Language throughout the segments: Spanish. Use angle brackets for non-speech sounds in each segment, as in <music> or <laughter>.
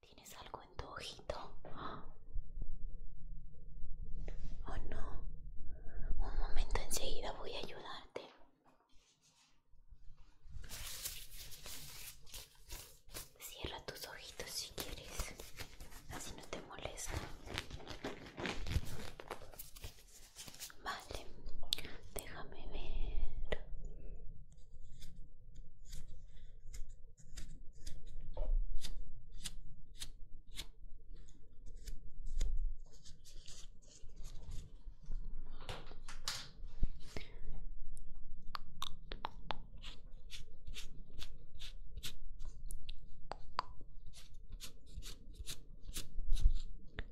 ¿Tienes algo en tu ojito? <gasps> Oh no. Un momento, enseguida voy a ayudarte. Cierra tus ojitos si quieres. Así no te molesta. Vale, déjame ver.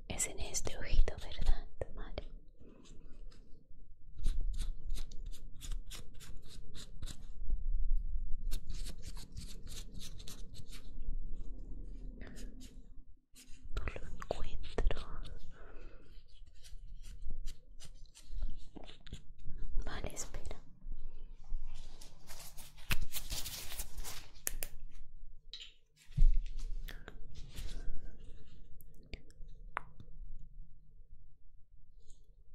Es en este ojito, ¿verdad? Vale. No lo encuentro. Vale, espera.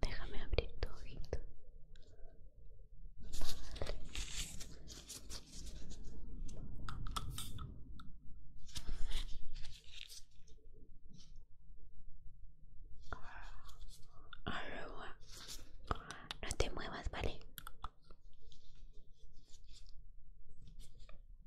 Déjame abrir tu ojito. No te muevas, ¿vale?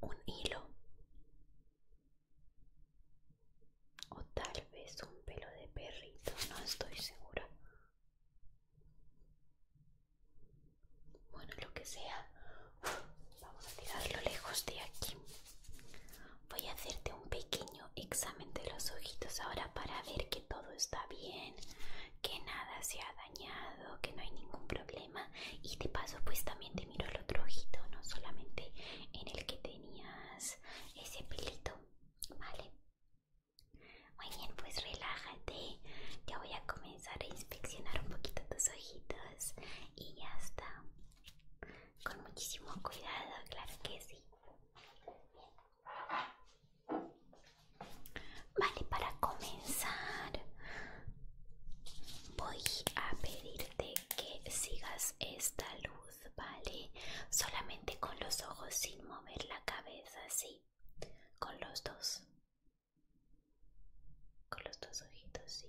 un hilo o tal vez un pelo de perrito, no estoy segura. Bueno, lo que sea, vamos a tirarlo lejos de aquí. Voy a hacerte un pequeño examen los ojitos ahora para ver que todo está bien, que nada se ha dañado, que no hay ningún problema. Y de paso, pues también te miro el otro ojito, no solamente en el que tenías ese pelito, ¿vale? Muy bien, pues relájate. Ya voy a comenzar a inspeccionar un poquito tus ojitos y ya está. Con muchísimo cuidado, claro que sí. Vale, para comenzar voy a pedirte que sigas esta luz, ¿vale? Solamente con los ojos sin mover la cabeza, sí. Con los dos. Con los dos ojitos, sí.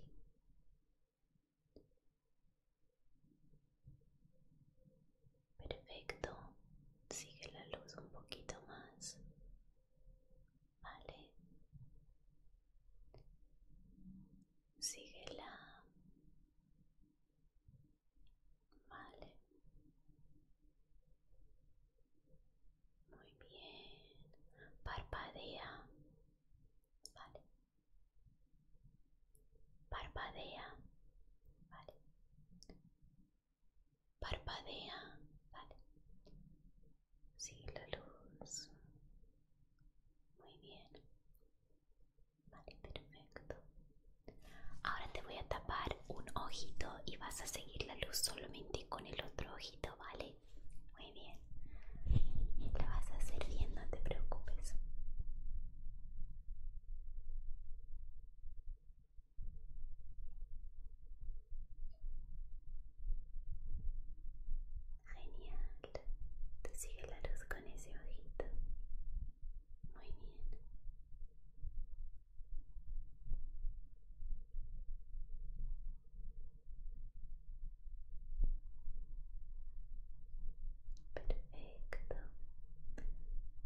Perfecto. Sigue la luz un poquito más. Vale. Síguela. Vale. Muy bien. Parpadea. Vale. Parpadea. Vale. Parpadea, vale. Sigue la luz. Muy bien. Vale, perfecto. Ahora te voy a tapar un ojito y vas a seguir la luz solamente con el otro ojito, ¿vale? Muy bien. La vas a hacer bien, no te preocupes. Genial. Tú sigue la luz con ese ojito. Muy bien. Perfecto.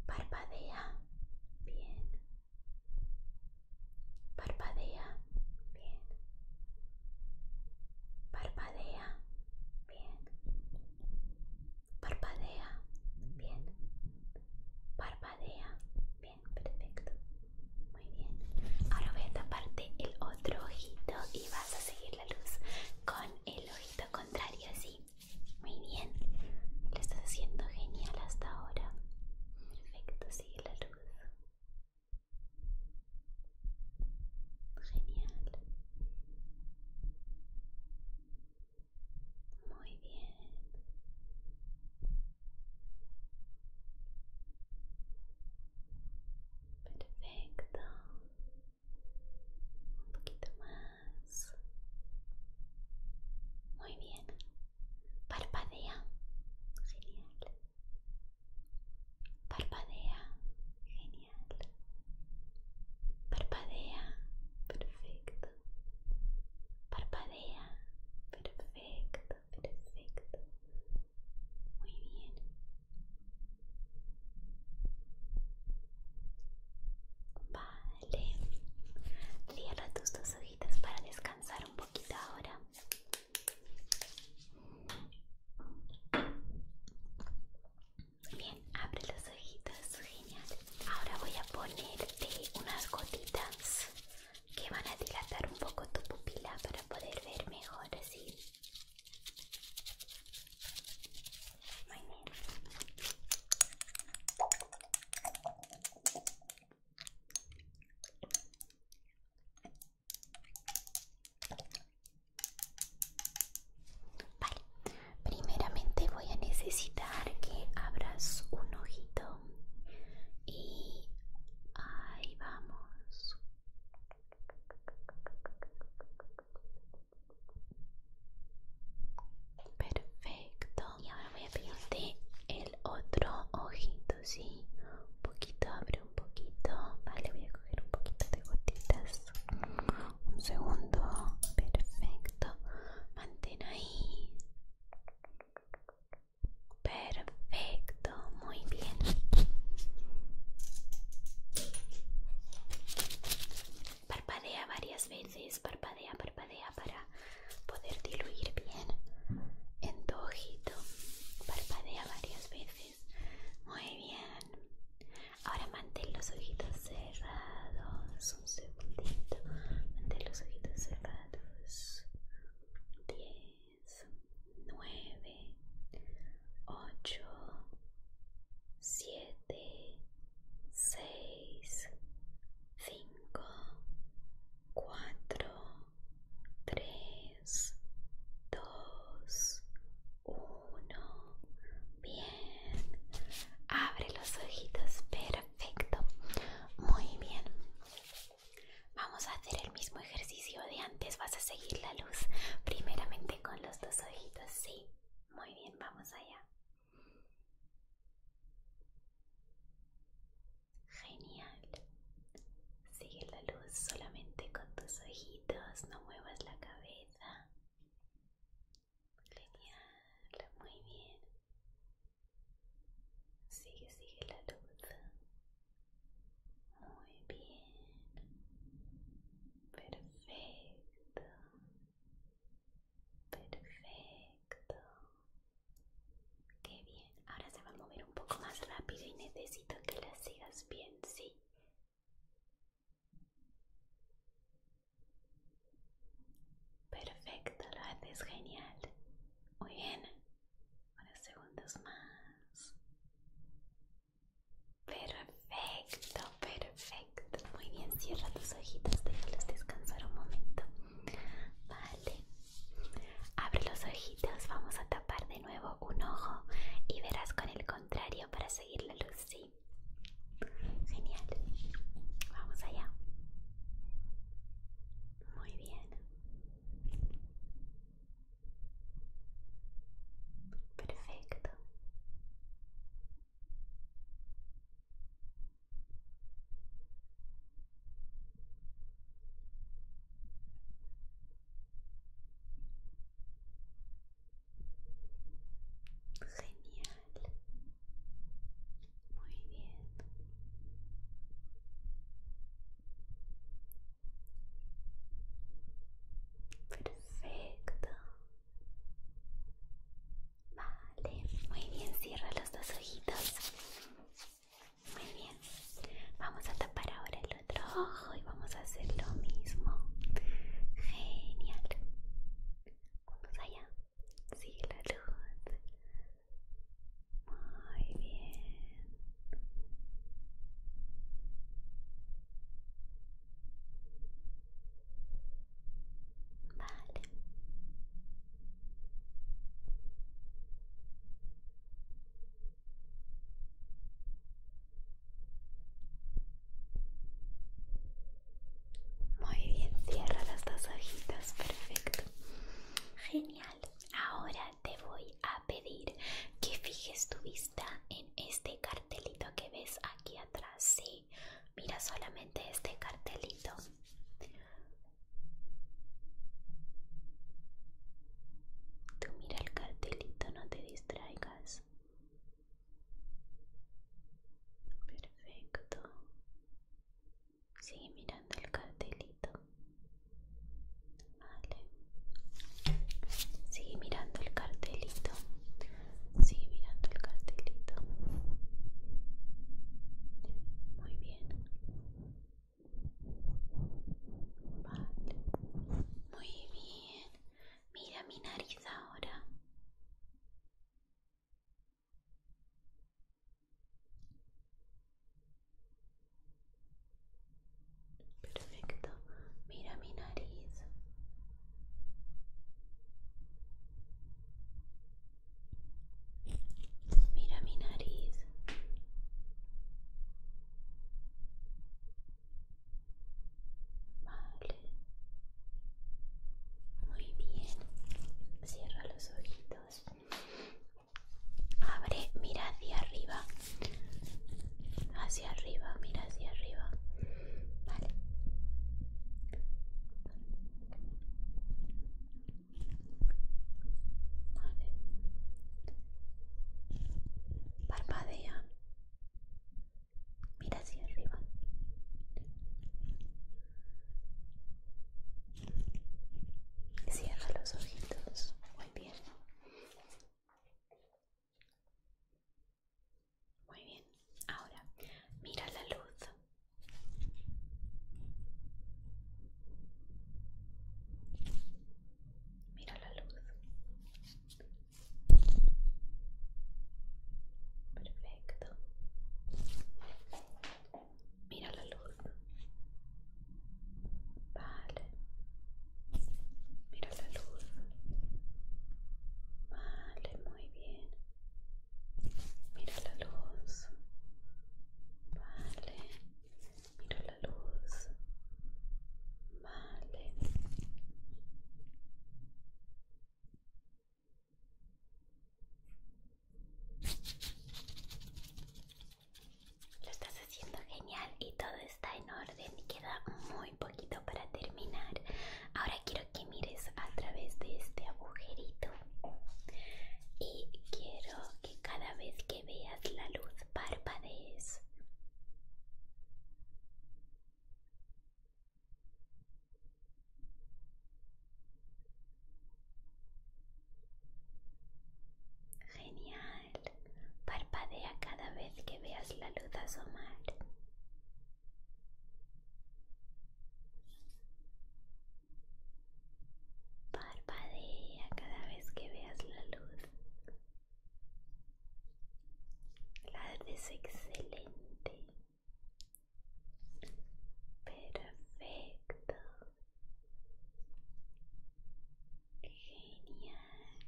Parpadea. Bien. Parpadea. Bien. Parpadea. Bien. Parpadea. Bien. Parpadea. Bien, perfecto. Muy bien. Ahora voy a taparte el otro ojito y vas a seguir la luz con el ojito contrario, así. Muy bien, lo estás haciendo genial hasta ahora. Perfecto, sigue la luz. Genial. Muy bien. Perfecto. Un poquito más. Muy bien. Parpadea. Genial. Parpadea. Genial. Parpadea. Perfecto. Parpadea. Perfecto. Perfecto. Muy bien. Bye Vale. Este, cierra tus dos ojitos para descansar un poquito ahora. Bien, abre los ojitos, genial. Ahora voy a ponerte unas gotitas que van a dilatar un poco tu pupila para poder ver mejor así. Vale, primeramente voy a necesitar que abras un ojito y ahí vamos. Perfecto. Y ahora voy a pedirte el otro ojito, ¿sí? Un poquito, abre un poquito. Vale, voy a coger un poquito de gotitas. Un segundo. Perfecto. Mantén ahí. Perfecto, muy bien. Parpadea varias veces, parpadea, parpadea para poder diluir bien en tu ojito. Parpadea varias veces. Muy bien. Ahora mantén los ojitos cerrados. Un segundito. Mantén los ojitos cerrados. 10, 9, 8, 7, 6, 5 cinco, cuatro, tres, dos, uno. Bien. Abre los ojitos. Perfecto. Muy bien. Vamos a hacer el mismo ejercicio de antes. Vas a seguir la luz primeramente con los dos ojitos. Sí. Muy bien. Vamos allá. Genial. Sigue la luz solamente con tus ojitos, no muevas la cabeza. Genial, muy bien. Sigue, sigue la luz. Muy bien. Perfecto. Perfecto. Qué bien. Ahora se va a mover un poco más rápido y necesito que la sigas bien, sí. Perfecto, lo haces genial. Muy bien. Unos segundos más. Perfecto, perfecto. Muy bien, cierra tus ojitos, déjalos descansar un momento. Vale. Abre los ojitos, vamos a tapar de nuevo un ojo y verás con el contrario para seguir la luz, ¿sí? Genial. Vamos allá. Muy bien. Perfecto. Genial. Muy bien. Perfecto. Vale, muy bien, cierra los dos ojitos. Muy bien, vamos a tapar ahora el otro ojo y vamos a hacer lo mismo. Genial. Vamos allá. Sigue la luz. Muy bien. Vale. Muy bien, cierra las dos hojitas, perfecto. Genial. Ahora te voy a pedir que fijes tu vista en este cartelito que ves aquí atrás. Sí, mira solamente este cartelito. Tú mira el cartelito, no te distraigas. Perfecto. Sigue mirando el cartelito. Vale. Sigue mirando el cartelito. Sigue mirando el cartelito. Muy bien. Muy bien. Mira mi nariz ahora. Perfecto. Mira mi nariz. Mira mi nariz. Vale. Muy bien. Cierra los ojitos. Abre, mira hacia arriba. Hacia arriba, mira hacia arriba. Vale. Parpadea. Mira hacia arriba. Cierra los ojitos. Muy bien. Muy bien. Ahora, mira la luz. Mira la luz. Perfecto. Mira la luz. Vale. Mira la luz. Vale, muy bien. Mira la luz. Vale. Mira la luz. Vale. Lo estás haciendo genial y todo está en orden y queda muy poquito para terminar. Ahora quiero que mires a través de este agujerito y quiero que cada vez que veas la luz parpadees. Genial. Parpadea cada vez que veas la luz asomar. Parpadea cada vez que veas la luz. La es excelente. Perfecto. Genial.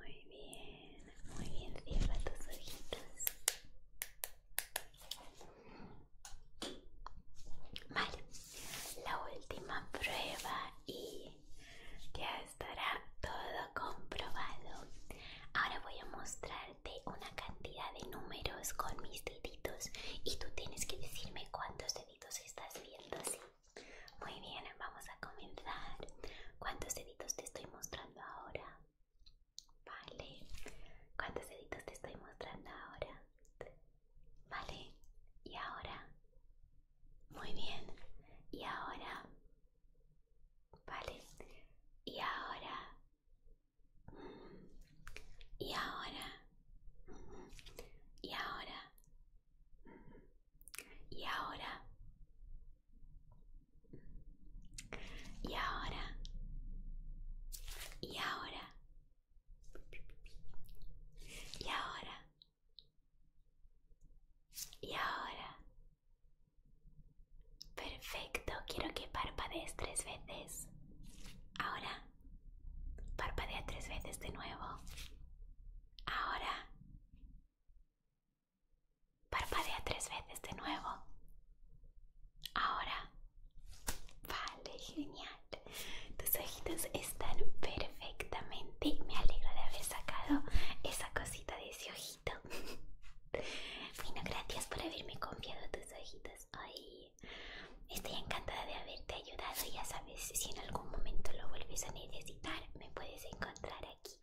Muy bien muy bien, cierra tus ojitos. Vale, la última prueba y ya estará todo comprobado. Ahora voy a mostrarte una cantidad de números con mis deditos y tú tienes que decirme cuántos deditos estás viendo, ¿sí? Muy bien, vamos a comenzar. ¿Cuántos deditos te estoy mostrando? ahora? Vale. ¿Cuántos deditos te estoy mostrando ahora? Vale. ¿Y ahora? Muy bien. ¿Y ahora? Vale. ¿Y ahora? ¿Y ahora? ¿Y ahora? ¿Y ahora? Y ahora. Y ahora. Y ahora. Y ahora. Perfecto, quiero que parpadees tres veces. Ahora. Parpadea tres veces de nuevo. Ahora. Parpadea tres veces de nuevo. Ahora. Vale, genial. Tus ojitos están perfectamente. Me alegro de haber sacado esa cosita de ese ojito. <laughs> bueno, gracias por haberme confiado tus ojitos hoy. Estoy encantada de haberte ayudado. Ya sabes, si en algún momento lo vuelves a necesitar, me puedes encontrar aquí.